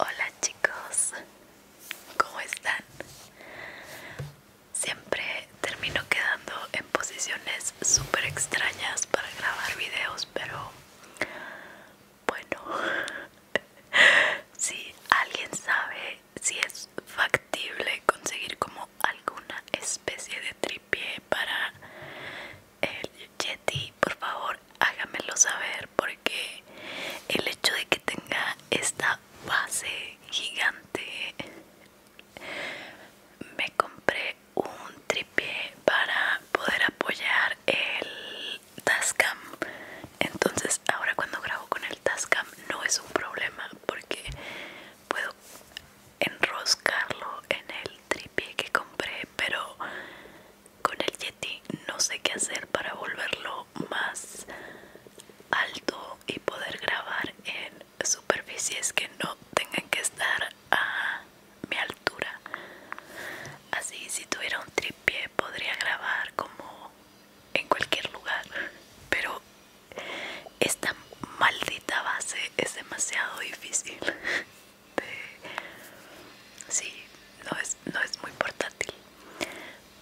Hola chicos, ¿cómo están? Siempre termino quedando en posiciones súper extrañas para grabar videos, pero bueno si alguien sabe si es factible conseguir como alguna especie de tripié para el yeti por favor hágamelo saber porque el hecho de que tenga esta base gigante me compré un tripié para poder apoyar el Tascam. Entonces ahora cuando grabo con el Tascam no es un problema porque puedo enroscarlo en el tripié que compré, pero con el Yeti no sé qué hacer para volverlo más alto y poder grabar en superficies que no tengan que estar a mi altura así si tuviera un tripié podría grabar como en cualquier lugar pero esta maldita base es demasiado difícil sí no es, no es muy portátil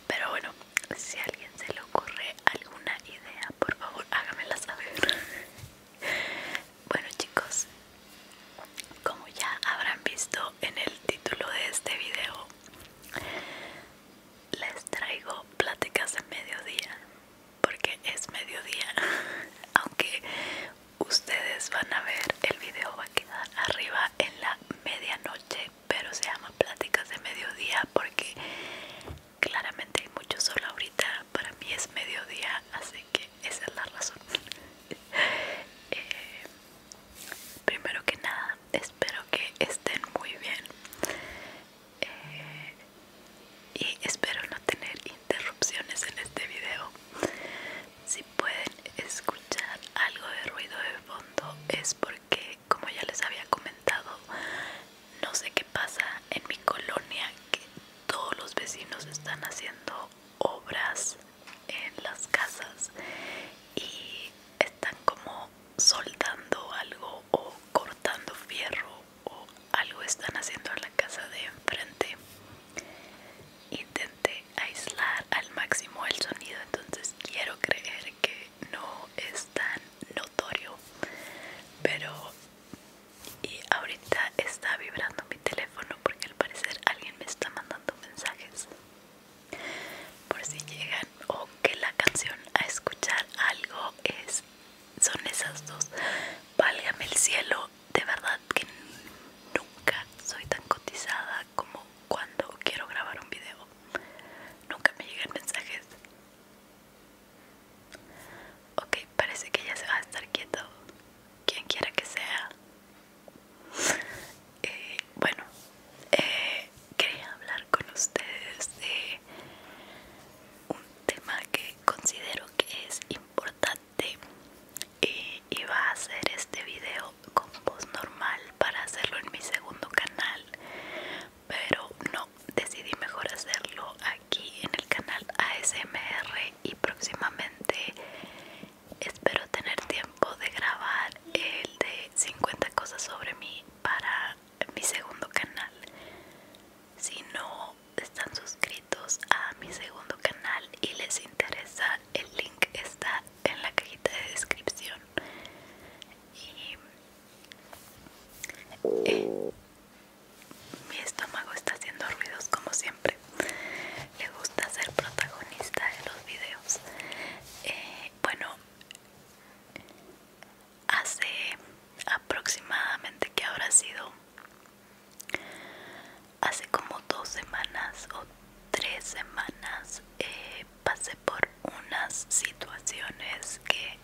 pero bueno si a alguien se le ocurre alguna idea por favor hágamela saber bueno chicos, como ya habrán visto en el título de este video, les traigo pláticas de mediodía, porque es mediodía, aunque ustedes van a ver, el video va a quedar arriba en la medianoche, pero se llama pláticas de mediodía porque claramente hay mucho sol ahorita, para mí es mediodía, así que esa es la razón. Eh, primero que nada, espero que estén muy bien. Eh, y espero no tener interrupciones en este video. Si pueden escuchar algo de ruido de fondo es porque, como ya les había comentado, no sé qué pasa en mi colonia que todos los vecinos están haciendo obras en las casas y están como soldando algo o cortando fierro o algo están haciendo en la casa de enfrente intenté aislar al máximo el sonido entonces quiero creer que no es tan notorio pero y ahorita está vibrando mi teléfono porque al parecer alguien me está mandando mensajes por si llegan o que la canción a escuchar algo es son esas dos válgame el cielo de verdad que nunca soy tan cotizada como cuando quiero grabar un video nunca me llegan mensajes ok parece que ya se va a estar quieto quien quiera que sea eh, bueno eh, quería hablar con ustedes de un tema que considero que es importante y iba a hacer este video con voz normal para hacerlo en mi segundo canal pero no decidí mejor hacerlo aquí en el canal ASMR y próximamente Espero tener tiempo de grabar el de 50 cosas sobre mí para mi segundo canal. Si no están suscritos a mi segundo canal y les interesa, el link está en la cajita de descripción. Eh, mi estómago está haciendo ruidos como siempre le gusta ser protagonista de los videos eh, bueno hace aproximadamente que ahora ha sido hace como dos semanas o tres semanas eh, pasé por unas situaciones que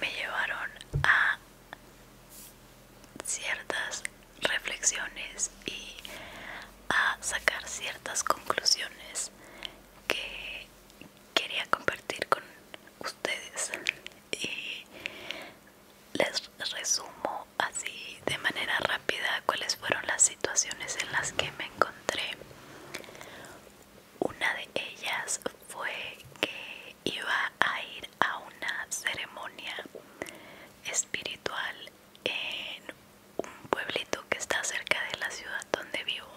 me llevaron a ciertas reflexiones y a sacar ciertas conclusiones que quería compartir con ustedes y les resumo así de manera rápida cuáles fueron las situaciones en las que me encontré una de ellas fue que iba a ir a una ceremonia espiritual en un pueblito que está cerca de la ciudad donde vivo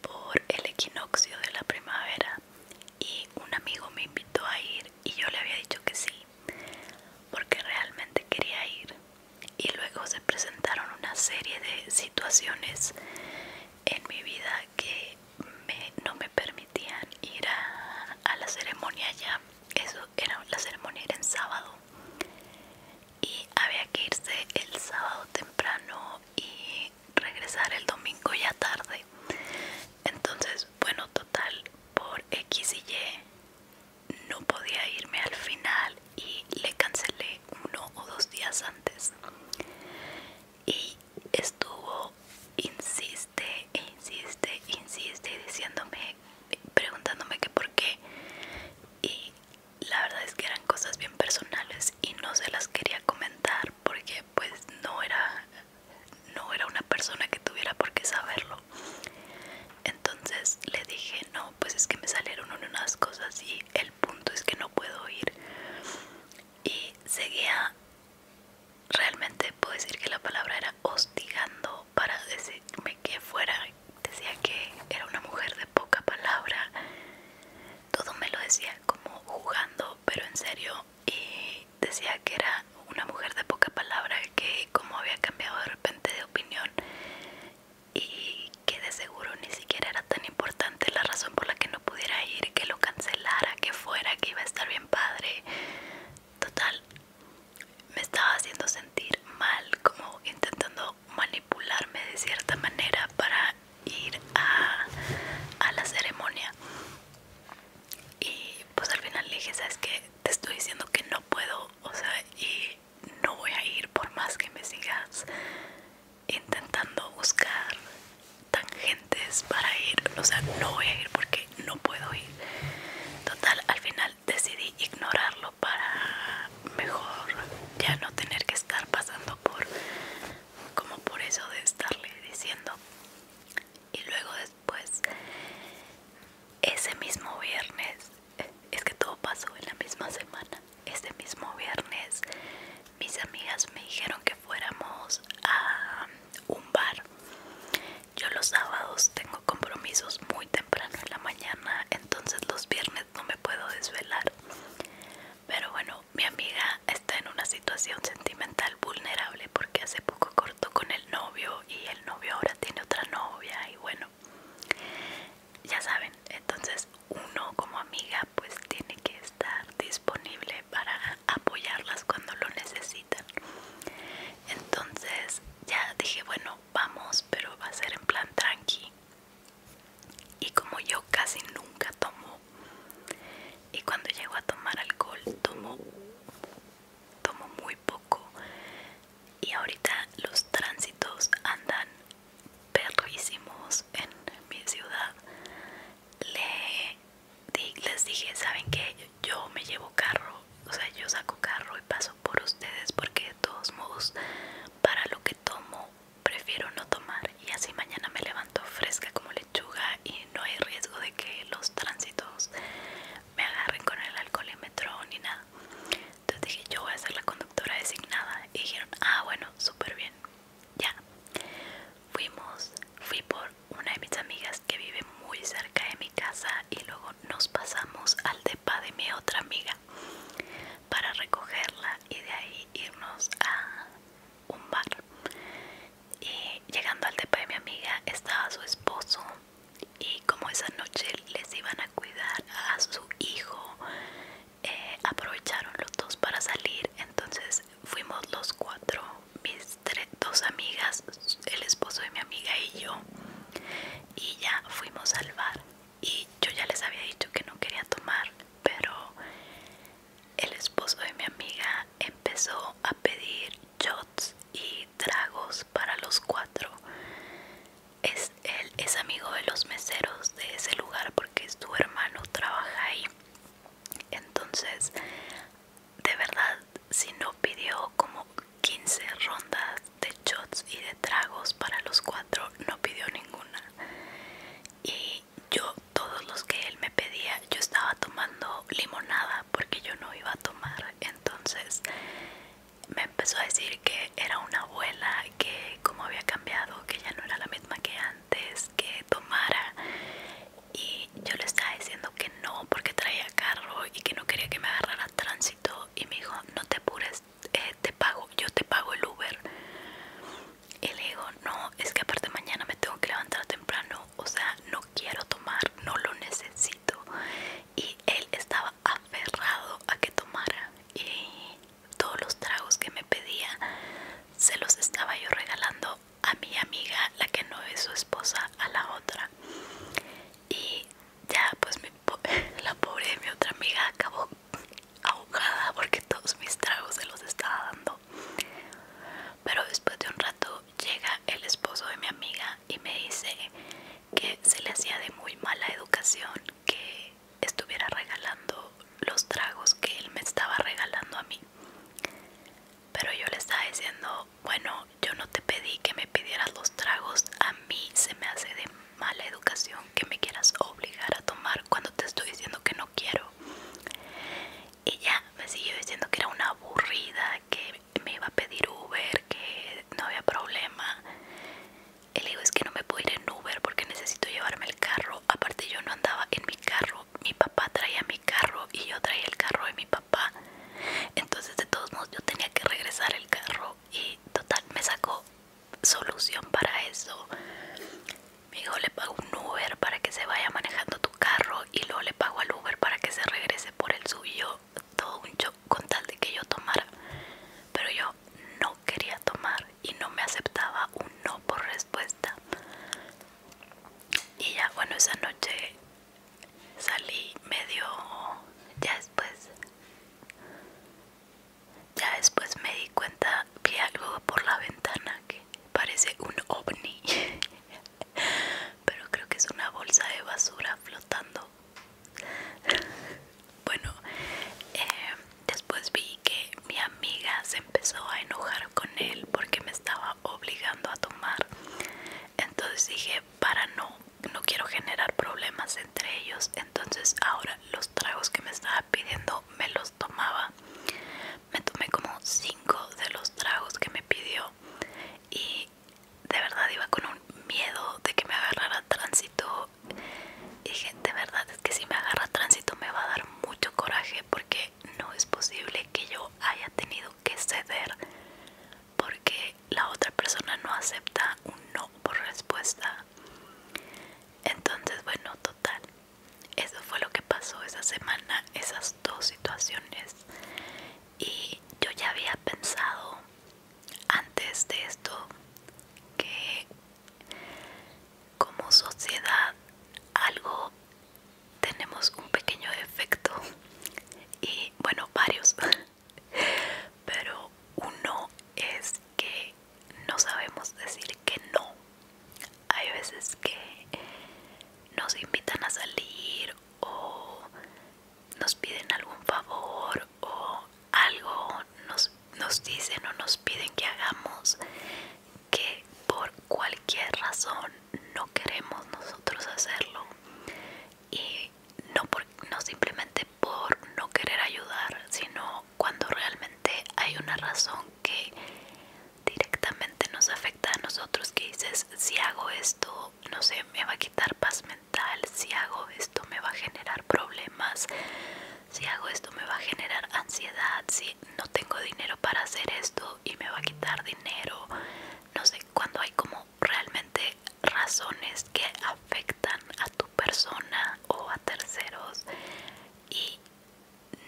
por el equinoccio de la primavera y un amigo me invitó a ir y yo le había dicho que sí porque realmente quería ir y luego se presentaron una serie de situaciones en mi vida que no me permitían ir a, la ceremonia allá, eso era, la ceremonia era en sábado y había que irse el sábado temprano y regresar el domingo ya tarde. Entonces, bueno, total, por X y Y no podía irme al final y le cancelé uno o dos días antes. Y estuvo, insisto insiste insiste insiste diciéndome, preguntándome que por qué. Y la verdad es que eran cosas bien personales y no se las quería comentar porque pues no era no era una persona que tuviera por qué saberlo. Entonces le dije, "No, pues es que me salieron unas cosas y el punto es que no puedo ir." Y seguía realmente puedo decir que la palabra era hostigando para decirme que fuera. Decía que era una mujer de poca palabra. Todo me lo decía como jugando, pero en serio. Y decía que era una mujer de poca palabra, que como había cambiado de repente de opinión y que de seguro ni siquiera era tan importante la razón por la que no pudiera ir, que lo cancelara, que fuera, que iba a estar bien padre. Total, me estaba haciendo sentir mal, como intentando manipularme de cierta manera para ir a, la ceremonia. Y pues al final dije, ¿sabes que Te estoy diciendo que no puedo, o sea, y no voy a ir por más que me sigas intentando buscar tangentes para ir, o sea, no voy a ir porque no puedo ir. Total, al final decidí ignorarlo para mejor ya no tener que estar pasando por como por eso de estarle diciendo y luego después ese mismo viernes es que todo pasó en la misma semana ese mismo viernes mis amigas me dijeron que fuéramos a un bar yo los sábados tengo compromisos muy temprano en la mañana, entonces los viernes no me puedo desvelar. Pero bueno, mi amiga está en una situación sentimental vulnerable porque hace poco cortó con el novio y el novio ahora tiene otra novia y bueno, ya saben, entonces uno como amiga pues tiene que estar disponible para apoyarlas cuando lo necesitan. Entonces ya dije, bueno, vamos, pero va a ser en plan tranqui. Y como yo casi nunca tomo, y cuando llego a tomar alcohol, tomo, tomo muy poco. Y ahorita los tránsitos andan perrísimos en mi ciudad. Le, les dije, ¿saben qué? yo me llevo carro, o sea, yo saco carro y paso por ustedes porque de todos modos, para lo que tomo, prefiero no tomar y así mañana me levanto fresca como lechuga y no hay riesgo de que los tránsitos me agarren con el alcohol y ni nada. Entonces dije, yo voy a ser la conductora designada y dijeron, ah, bueno, súper bien, ya. Fuimos, fui por una de mis amigas que vive muy cerca de casa y luego nos pasamos al depa de mi otra amiga para recogerla y de ahí irnos a un bar. Y llegando al depa de mi amiga estaba su esposo y como esa noche les iban a cuidar a su hijo, eh, aprovecharon los dos para salir, entonces fuimos los cuatro, mis dos amigas, el esposo de mi amiga y yo y ya fuimos al bar y yo ya les había dicho que no quería tomar pero el esposo de mi amiga empezó a pedir shots y tragos para los cuatro es, él es amigo de los meseros de ese lugar porque su hermano trabaja ahí entonces de verdad, si no pidió como 15 rondas de shots y de tragos para los cuatro, no pidió ninguna. Y yo, todos los que él me pedía, yo estaba tomando limonada porque yo no iba a tomar. Entonces me empezó a decir que era una abuela, que como había cambiado, que ya no era la misma que antes, que tomara. Y yo le estaba diciendo que no porque traía carro y que no quería que me agarrara tránsito y me dijo no te apures eh, te pago yo te pago el Uber y le digo no es que aparte mañana me tengo que levantar temprano o sea no quiero tomar no lo necesito y él estaba aferrado a que tomara y todos los tragos que me pedía se los estaba yo regalando a mi amiga la que no es su esposa a la otra y ya pues la pobre de mi otra amiga acabó ahogada porque todos mis tragos se los estaba dando pero después de un rato llega el esposo de mi amiga y me dice que se le hacía de muy mala educación que estuviera regalando los tragos que él me estaba regalando a mí pero yo le estaba diciendo bueno, yo no te pedí que me pidieras los tragos, a mí se me hace de mala educación que me quieras obligar a tomar cuando te estoy diciendo que no quiero. Y ya me siguió diciendo que era una aburrida, que me iba a pedir Uber, que no había problema. El dijo es que no me puedo ir en Uber porque necesito llevarme el carro. Aparte yo no andaba en mi carro, mi papá traía mi carro y yo traía el carro de mi papá. Entonces de todos modos yo tenía que regresar el carro y total me sacó solución para eso. Me dijo, le pago un Uber para que se vaya manejando tu carro y luego le pago al Uber para que se regrese por el suyo. Todo un shock con tal de que yo tomara. Pero yo no quería tomar y no me aceptaba un no por respuesta. Y ya, bueno, esa noche salí medio ya después ya después me di cuenta vi algo por la ventana que parece un ovni pero creo que es una bolsa de basura flotando bueno eh, después vi que mi amiga se empezó a enojar con él porque me estaba obligando a tomar entonces dije para no no quiero generar problemas entre ellos entonces ahora los tragos que me estaba pidiendo me los tomaba me tomé como 5 de los tragos que me pidió y de verdad iba con un miedo de que me agarrara tránsito y dije de verdad es que si me agarra tránsito me va a dar mucho coraje porque no es posible que yo haya tenido que ceder porque la otra persona no acepta un no por respuesta. Entonces, bueno, total. Eso fue lo que pasó esa semana, esas dos situaciones. Y yo ya había pensado antes de esto que como sociedad algo tenemos un pequeño defecto y bueno varios Pero uno es que no sabemos decir que no. Hay veces que nos invitan a salir o nos piden algún favor o algo nos, dicen o nos piden que hagamos que por cualquier razón no queremos nosotros hacerlo y no, por, no simplemente por no querer ayudar, sino cuando realmente hay una razón que directamente nos afecta a nosotros, que dices, si hago esto, no sé, me va a quitar paz mental, si hago esto me va a generar problemas, si hago esto me va a generar ansiedad, si no tengo dinero para hacer esto y me va a quitar dinero, no sé, cuando hay como realmente razones que afectan a tu persona o a terceros y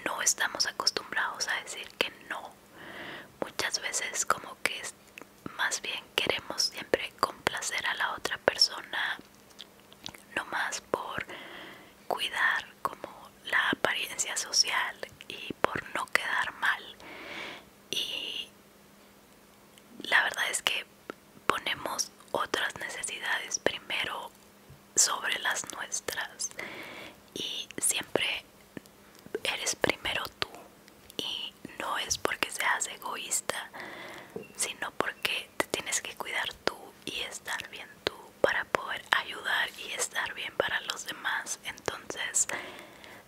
no estamos acostumbrados a decir que no muchas veces como que es, más bien queremos siempre complacer a la otra persona no más por cuidar como la apariencia social y por no quedar mal y la verdad es que ponemos otras necesidades primero sobre las nuestras y siempre eres primero tú y no es porque seas egoísta sino porque te tienes que cuidar tú y estar bien tú para poder ayudar y estar bien para los demás entonces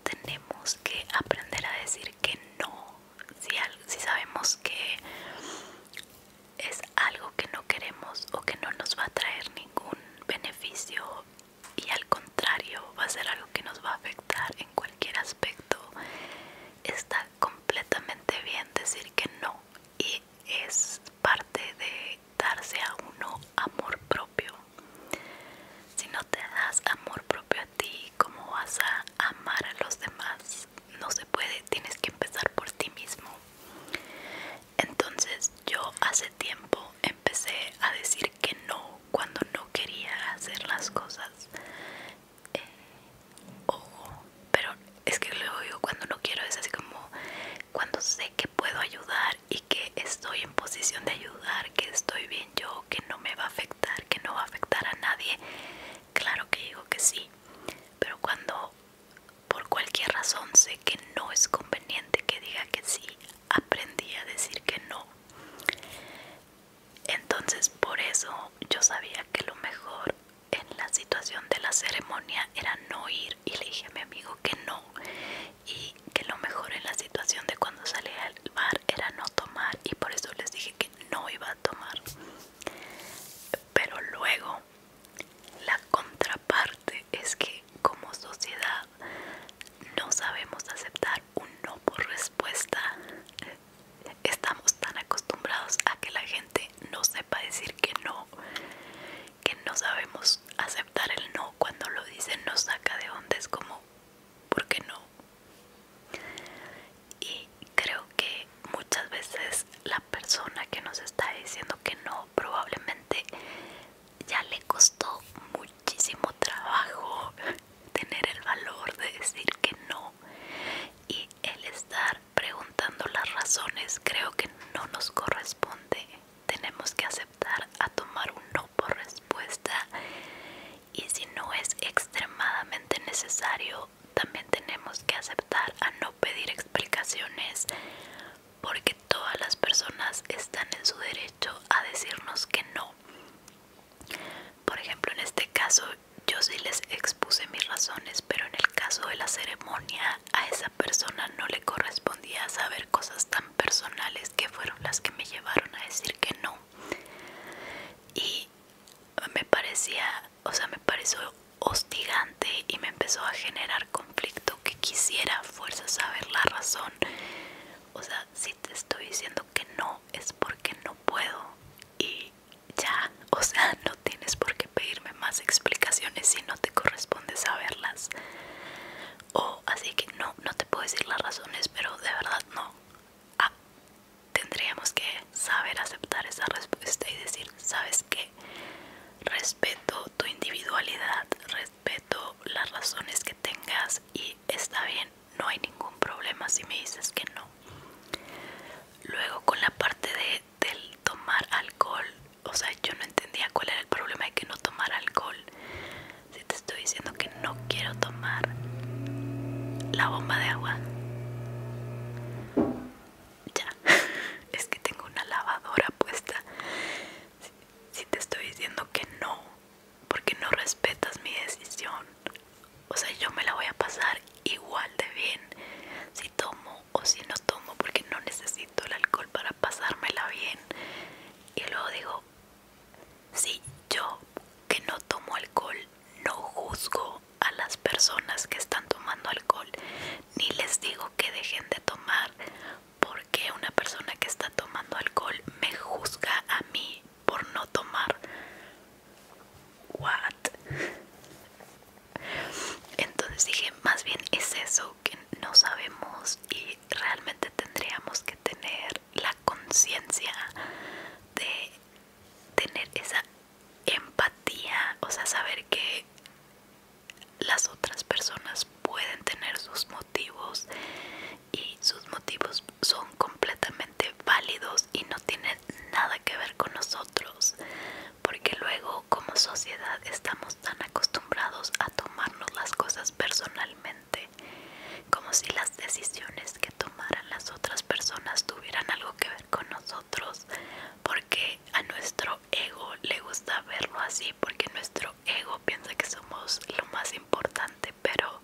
tenemos que aprender a decir que no, si, si sabemos que es algo que no queremos o que no nos va a traer ningún beneficio y al contrario va a ser algo que nos va a afectar en cualquier aspecto, está completamente bien decir que no y es parte de darse a uno amor propio. Si no te das amor propio a ti, Cómo vas a amar a los demás no se puede tienes que empezar por ti mismo entonces yo hace tiempo empecé a decir que no cuando no quería hacer las cosas eh, Ojo, pero es que luego digo cuando no quiero es así como cuando sé que puedo ayudar y que estoy en posición de ayudar que estoy bien yo que no me va a afectar que no va a afectar a nadie, claro que digo que sí. Pero cuando por cualquier razón sé que no es conveniente que diga que sí, aprendí a decir que no. Entonces por eso yo sabía que lo mejor en la situación de la ceremonia era no ir y le dije a mi amigo que no y que lo mejor en la situación de cuando salía al bar era no tomar y por eso les dije que no iba a tomar pero luego la contraparte es que como sociedad no sabemos aceptar un no por respuesta estamos tan acostumbrados a que la gente no sepa decir que no que no sabemos aceptar el no cuando lo dicen nos saca de onda es como ¿por no? Y creo que muchas veces la persona que nos está diciendo que no probablemente ya le costó muchísimo trabajo tener el valor de decir que no y el estar preguntando las razones creo que no nos corresponde tenemos que aceptar a tomar un no por respuesta y si no es extremadamente necesario también tenemos que aceptar a no pedir explicaciones porque todas las personas están en su derecho a decirnos que no por ejemplo en este caso yo sí les expuse mis razones pero en el caso de la ceremonia a esa persona no le correspondía saber cosas tan personales que fueron las que me llevaron a decir que no y me parecía, o sea, me pareció hostigante y me empezó a generar conflicto que quisiera fuerza saber la razón. O sea, si te estoy diciendo que no es porque no puedo y ya, o sea, no tienes por qué pedirme más explicaciones si no te corresponde saberlas. O así que no, no te puedo decir las razones, pero de verdad no. Ah, tendríamos que saber aceptar esa respuesta y decir, ¿sabes que Respeto tu individualidad, respeto las razones que tengas y está bien, no hay ningún problema si me dices que no. Luego con la parte de, del tomar alcohol, o sea, yo no entendía cuál era el problema de que no tomar alcohol si te estoy diciendo que no quiero tomar la bomba de agua? Ya, es que tengo una lavadora puesta. Si, te estoy diciendo que no, porque no respetas mi decisión. O sea, yo me la voy a pasar igual de bien si tomo o si no tomo porque no necesito el alcohol para pasármela bien. Y luego digo, si yo que no tomo alcohol, no juzgo a las personas que están tomando alcohol, ni les digo que dejen de tomar, porque una persona que está tomando alcohol me juzga a mí por no tomar. What? Entonces dije, más bien es eso que no sabemos y realmente tendríamos que tener la conciencia de tener esa empatía, o sea, saber que las otras personas pueden tener sus motivos y sus motivos son completamente válidos y no tienen nada que ver con nosotros porque luego como sociedad estamos tan acostumbrados a tomarnos las cosas personalmente como si las decisiones que tomaran las otras personas tuvieran algo que ver con nosotros, porque a nuestro ego le gusta verlo así, porque nuestro ego piensa que somos lo más importante, pero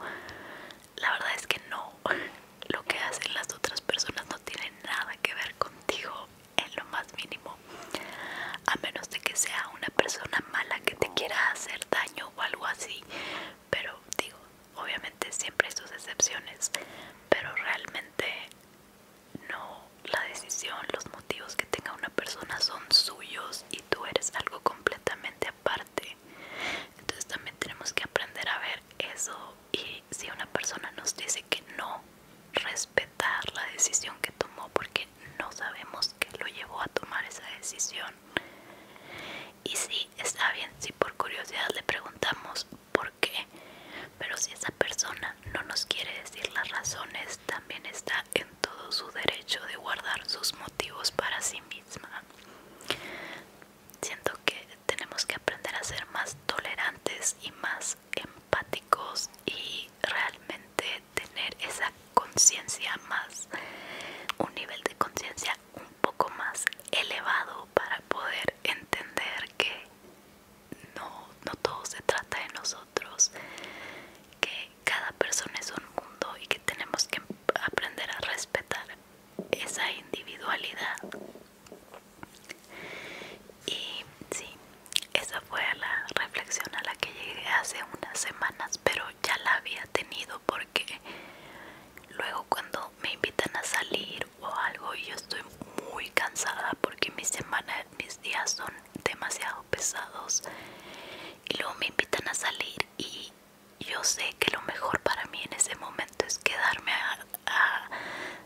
la verdad es que no, lo que hacen las otras personas no tiene nada que ver contigo en lo más mínimo, a menos de que sea una persona mala que te quiera hacer daño o algo así, pero digo, obviamente siempre hay sus excepciones, pero realmente no la decisión, los motivos que tenga una persona son suyos y tú eres algo completamente aparte. Entonces también tenemos que aprender a ver eso y si una persona nos dice que no, respetar la decisión que tomó porque no sabemos qué lo llevó a tomar esa decisión. Y sí, está bien si por curiosidad le preguntamos por qué, pero si esa persona no nos quiere decir las razones, también está en todo su derecho de guardar sus motivos para sí misma. Siento que tenemos que aprender a ser más tolerantes y más empáticos y realmente tener esa conciencia más, un nivel de conciencia un poco más elevado para poder entender que no, no todo se trata de nosotros, que cada persona es un mundo y que tenemos que aprender a respetar esa individualidad. Y sí, esa fue la reflexión a la que llegué hace unas semanas, pero ya la había tenido porque luego cuando me invitan a salir o algo y yo estoy muy cansada porque mis semanas, mis días son demasiado pesados y luego me invitan a salir y yo sé que lo mejor para mí en ese momento es quedarme a, a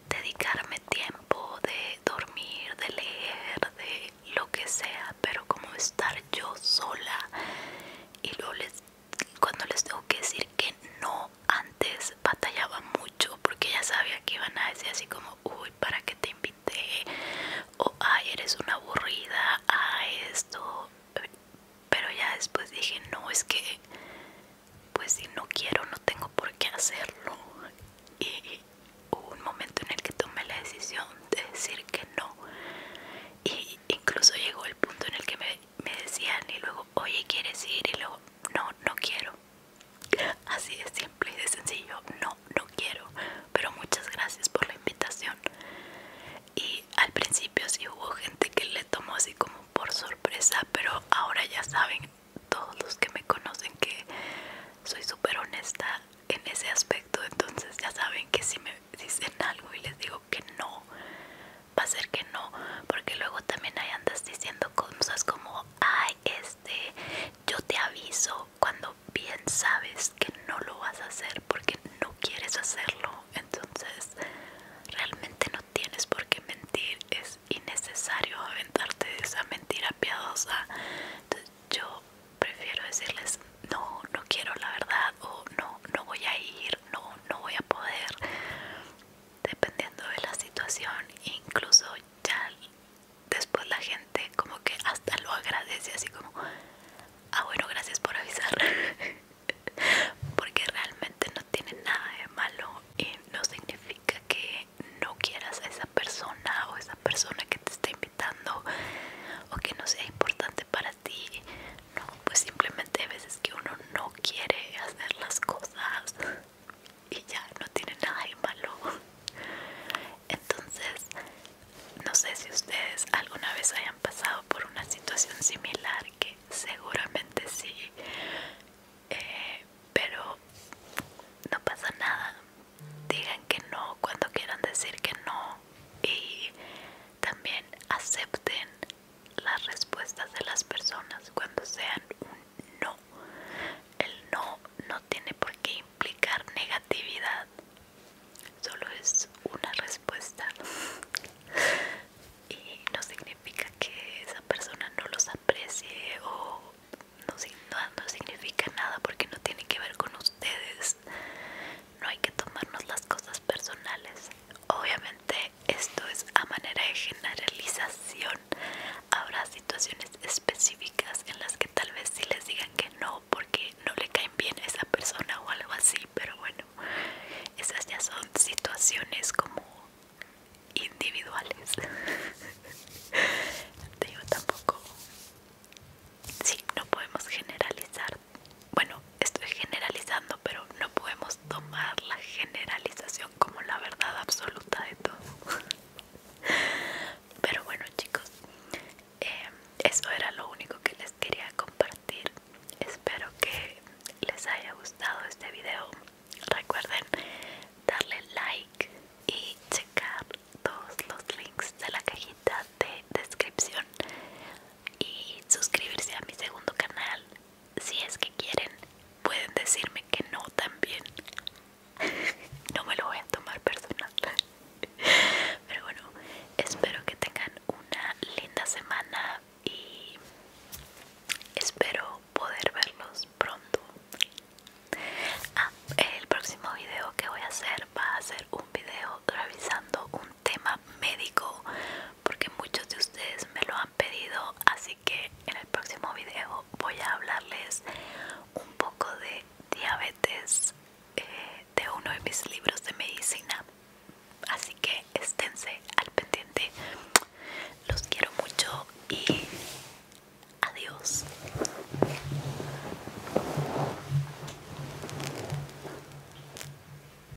dedicarme tiempo de dormir, de leer, de lo que sea, pero como estar yo sola y luego les cuando les tengo que decir que no antes batallaba mucho porque ya sabía que iban a decir así como uy para que te invité o ay eres una aburrida a esto pero ya después dije no es que pues si no quiero no tengo por qué hacerlo y hubo un momento en el que tomé la decisión de decir que no y incluso llegó el punto en el que me me decían y luego, oye, ¿quieres ir? Y luego, no, no quiero. Así de simple y de sencillo, no, no quiero. Pero muchas gracias por la invitación. Y al principio si hubo gente que le tomó así como por sorpresa, pero ahora ya saben todos los que me conocen que soy súper honesta en ese aspecto, entonces ya saben que si me dicen algo y les digo que no, va a ser que no, porque luego también ahí andas diciendo cosas como, ay, este, yo te aviso cuando bien sabes que no lo vas a hacer porque no quieres hacerlo, entonces realmente no tienes por qué mentir, es innecesario aventarte de esa mentira piadosa, entonces yo prefiero decirles, no, no quiero la verdad o no, no voy a ir no, no voy a poder, dependiendo de la situación, incluso ya después la gente como que hasta lo agradece así como, ah bueno, gracias por avisar, porque realmente no tiene nada de malo y no significa que no quieras a esa persona o esa persona que te está invitando o que no sea importante para ti no, pues simplemente hay veces que uno no quiere hacer las cosas y ya no tiene nada de malo. Entonces, no sé si ustedes alguna vez hayan pasado por una situación similar, que seguramente sí, eh, pero no pasa nada. Digan que no cuando quieran decir que no y también acepten las respuestas de las personas cuando sean un no. El no no tiene por qué implicar negatividad, solo es una respuesta y no significa que esa persona no los aprecie o no, significa nada porque no tiene que ver con ustedes no hay que tomarnos las cosas personales. Obviamente esto es a manera de generalización. Habrá situaciones específicas en las que tal vez sí les digan que no porque no le caen bien esa persona o algo así, pero bueno, esas ya son situaciones como individuales. Yo tampoco. Sí, no podemos generalizar, bueno, estoy generalizando, pero no podemos tomar la generalización como la verdad absoluta de todo. pero bueno, chicos, eh, eso era lo único que les quería compartir. Espero que les haya gustado este video. Recuerden darle like y checar todos los links de la cajita de descripción y suscribirse a mi segundo canal si es que quieren, pueden decirme que no también. No me lo voy a tomar personal. Pero bueno, espero que tengan una linda semana y espero poder verlos pronto. Ah, el próximo video que voy a hacer va a ser un video revisando un tema médico porque muchos de ustedes me lo han pedido así que en el próximo video voy a hablarles un poco de diabetes eh, de uno de mis libros de medicina así que esténse al pendiente los quiero mucho y adiós